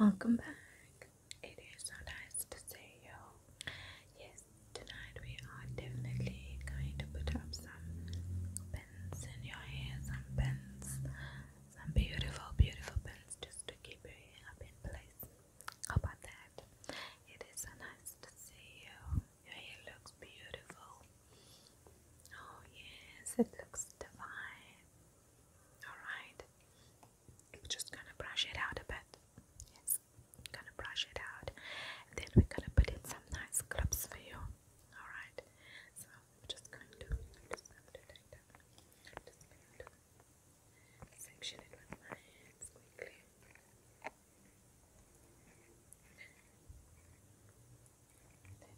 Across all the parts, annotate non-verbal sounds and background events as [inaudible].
Welcome back. It is so nice to see you. Yes, tonight we are definitely going to put up some pins in your hair, some pins, some beautiful, beautiful pins just to keep your hair up in place. How about that? It is so nice to see you. Your hair looks beautiful. Oh, yes, it looks divine. Alright, we're just gonna brush it out a bit. Yes, gonna brush it out, then we're gonna put in some nice clips for you. Alright, so I'm just going to, I'm just going to take that. just going to section it with my hands quickly. Just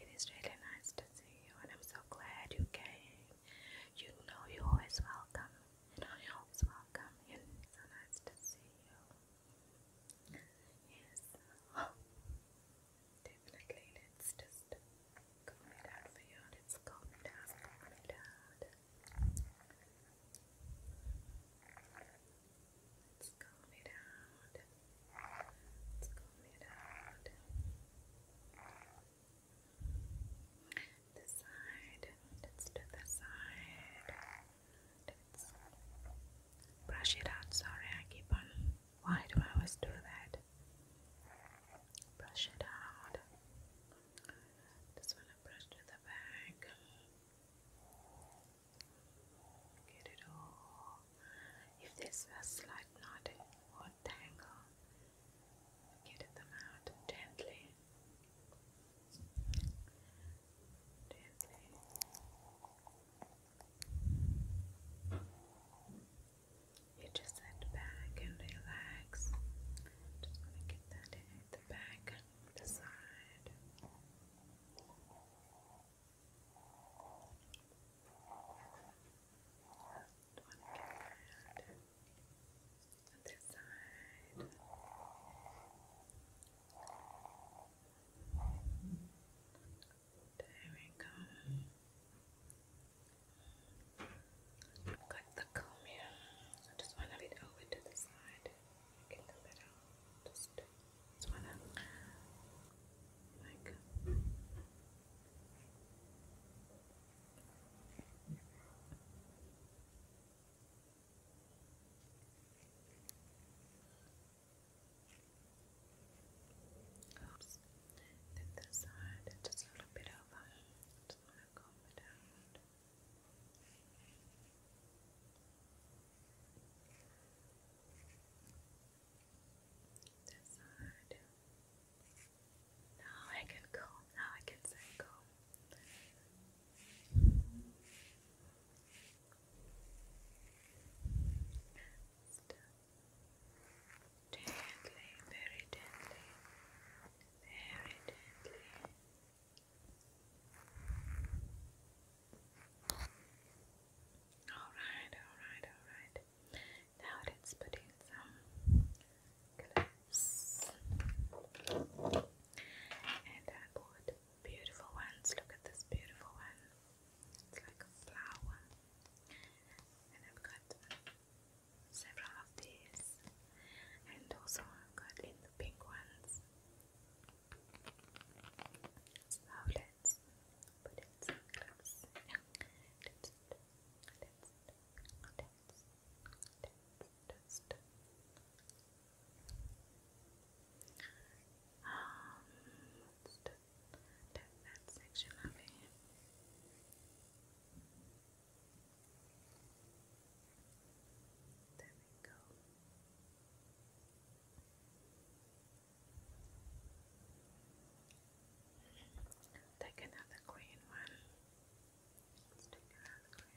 It is really nice to see you, and I'm so glad you came. You know you're always welcome. always welcome, it's so nice to see you. Yes. Oh. [gasps] Let's just comb it out for you. Let's comb it out. Comb it out. Let's comb it out. Let's comb it out. The side. Let's do the side. Brush it out. Sorry, I keep on. Why do I always do that? Brush it out. Just want to brush to the back. Get it all. If this was slight knotting or tangle, get them out gently. You just sit back and relax. Just want to get that in back, the side. Other side. There we go. Got the comb here. just want to lead over to the side. Get the middle. Just, just want to like. There Oops. Then the side, just a little bit over. Just want to comb it out. This side. Now I can comb. Now I can say comb. Gently, very gently, very gently. Alright, alright, alright. Now let's put in some and I bought beautiful ones. Look at this beautiful one. It's like a flower. And I've got several of these. And also i got in the pink ones. let's put it some close test. Um, that, section of There we go. Take another green one. Let's take it out of the camera.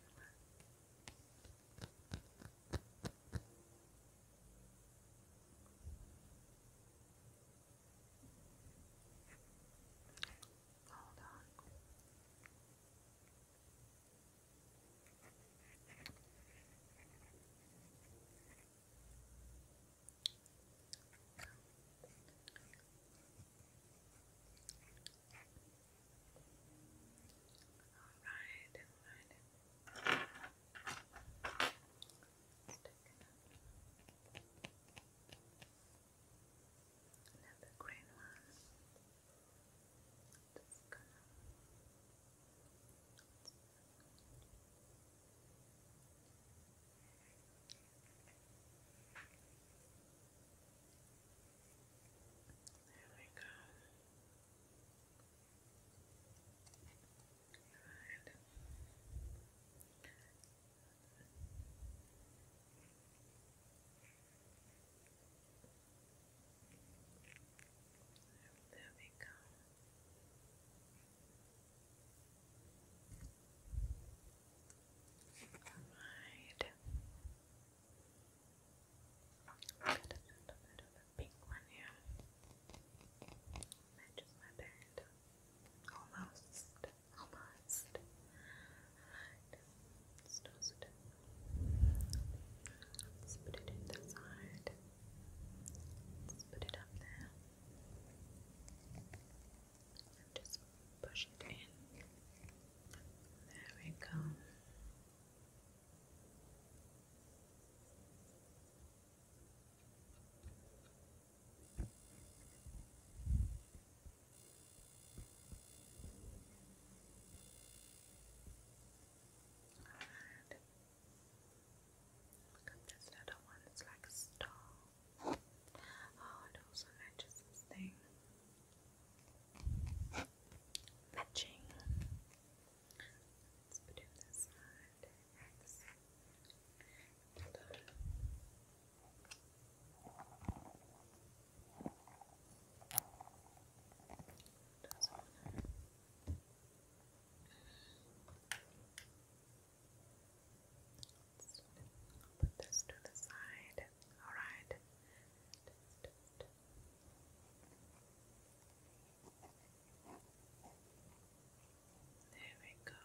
Hold on. All right, all right. Another green one. Just gonna Alright, there we go. Right. There we go. Alright. Got a little bit pink one here. Matches my bed. Almost. Almost. Alright. Let's put it in the side. Let's put it up there. Just push it in. There we go. All right. Look at this little one, it's like a star. Oh, it also matches this thing. Matching. Let's put in this side. X. Let's put this to the side. All right. There we go.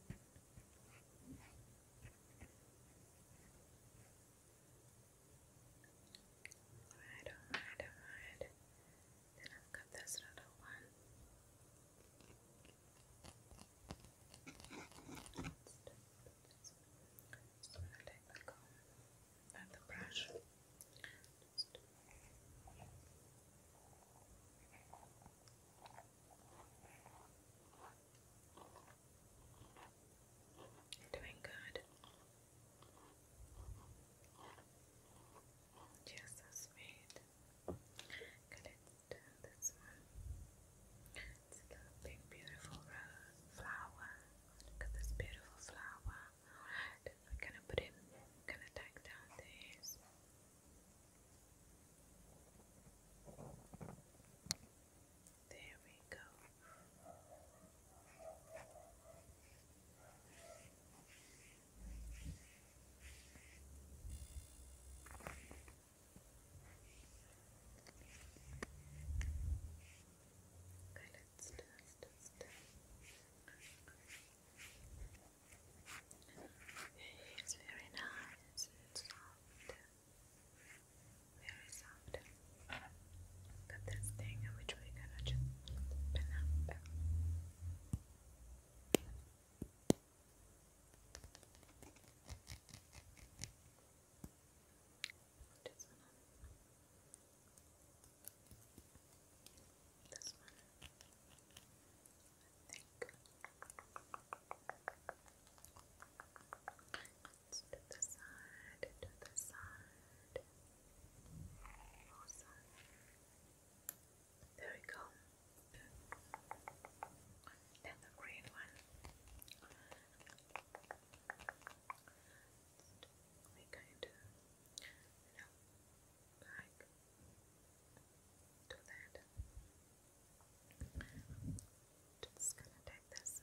alright, alright. Then I've got this little one. Just gonna take the comb the brush. Doing good. Just so sweet. Okay, let this one. It's a big, beautiful rose flower. Look at this beautiful flower. Alright, we're gonna put it, we're gonna take down these. There we go. Okay, let It's very nice, it's soft, very soft. Got this thing which we're gonna just open up. This one. Let's do the side, do the side. Awesome. There we go. Then the green one. We're going to, you know, like do that. Just gonna take this.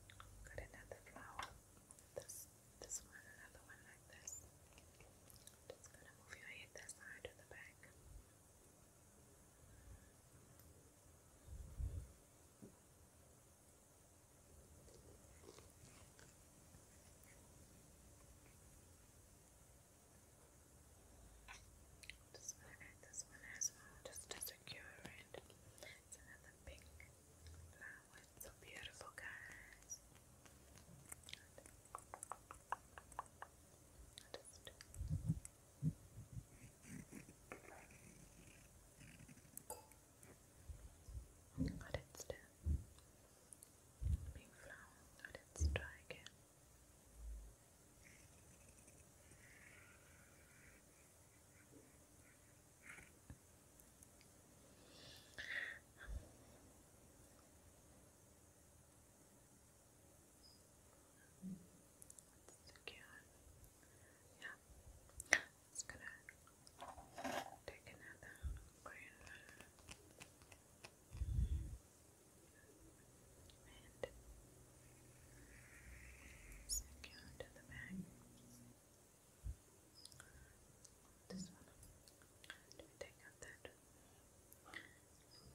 Got another flower. This this one, another one like this. Just gonna move your head this side to the back. Just wanna add this one just to secure it. another the pink flower. so beautiful, guys. Got it still. Pink flower. Got it dry again. That's cute. Yeah. It's gonna take another green secure to the bag. This one. Do we take out that? Is that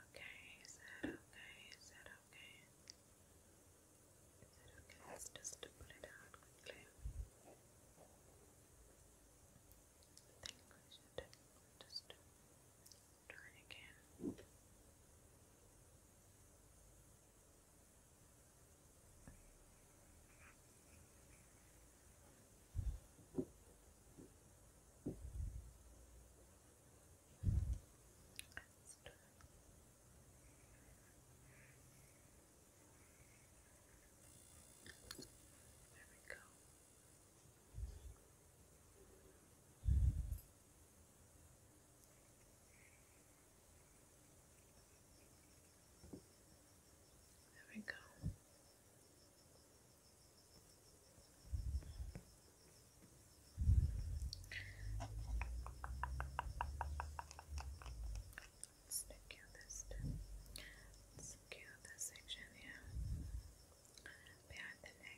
okay? Is that okay? Is that okay? Is that okay? Let's just pull it out quickly. I think just Try again. There we go. There we go. Let's secure this. Let's secure this here behind the neck.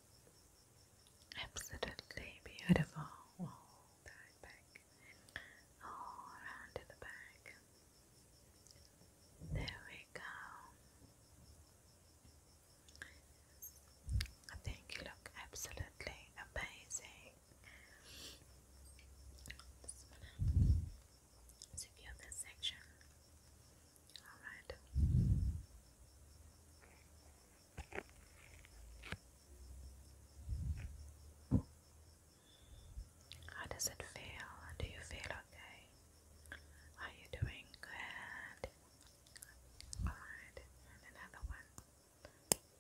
Absolutely beautiful. All that back, all around to the back. There we go. I think you look absolutely amazing. So if you're this section, all right. How does it feel? Do you feel okay? Are you doing good? Alright, and another one.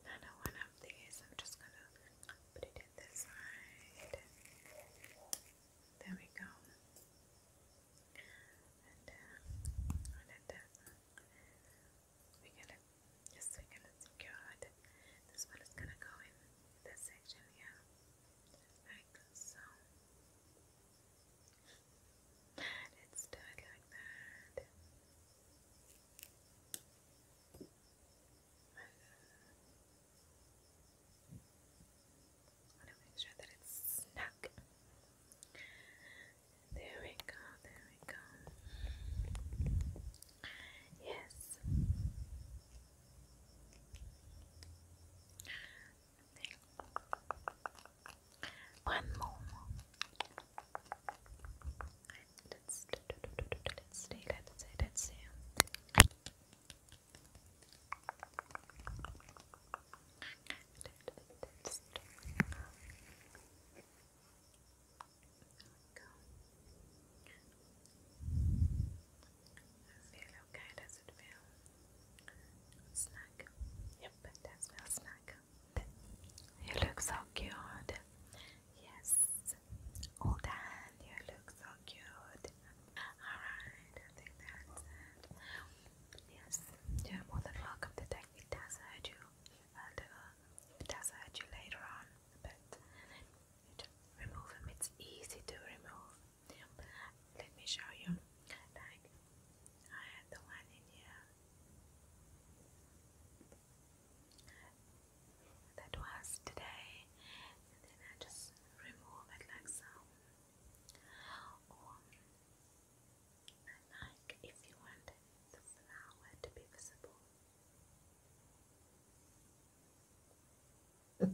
Another one of these. I'm just gonna put it in this side. There we go and, uh, we're gonna just we're gonna secure it. This one gonna go in this section here, like so. Let's do it like that want to make sure that it's snug. There we go, there we go. Yes. One more. Let's, let's see, let's see, let's see feel okay, does it feel snug? Yep, it does snug. You look so cute. Yes, all done. You look so cute. Alright, Yes, you're more than welcome to take it does you. Uh, uh, and, you later on, but remove them. It's easy to remove. Let me show you. Like, I had the one in here. That was today, and then I just remove it like so. Or like if you wanted the flower to be visible. then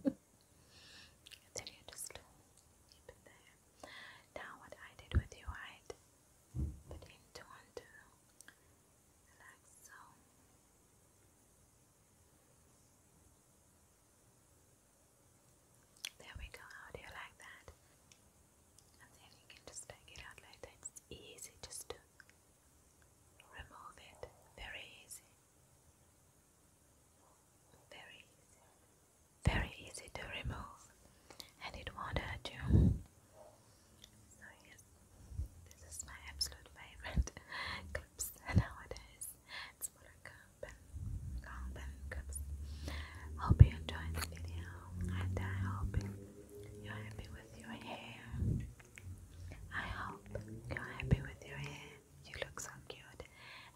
you just keep it there. Now what I did with your right, put into onto like so. There we go. How do like that? And then you can just take it out like It's easy just to remove it. Very easy. Very easy. Very easy to remove. And it won't hurt you. So yes, this is my absolute favorite [laughs] clips nowadays. It's Buttercup and Long Cups. Hope you enjoyed the video I hope you're happy with your hair. I hope you're happy with your hair. You look so cute.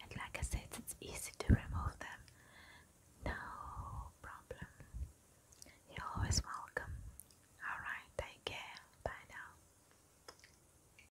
And like I said, it's easy to remove them. No problem. You're always welcome. Alright, take care. Bye now.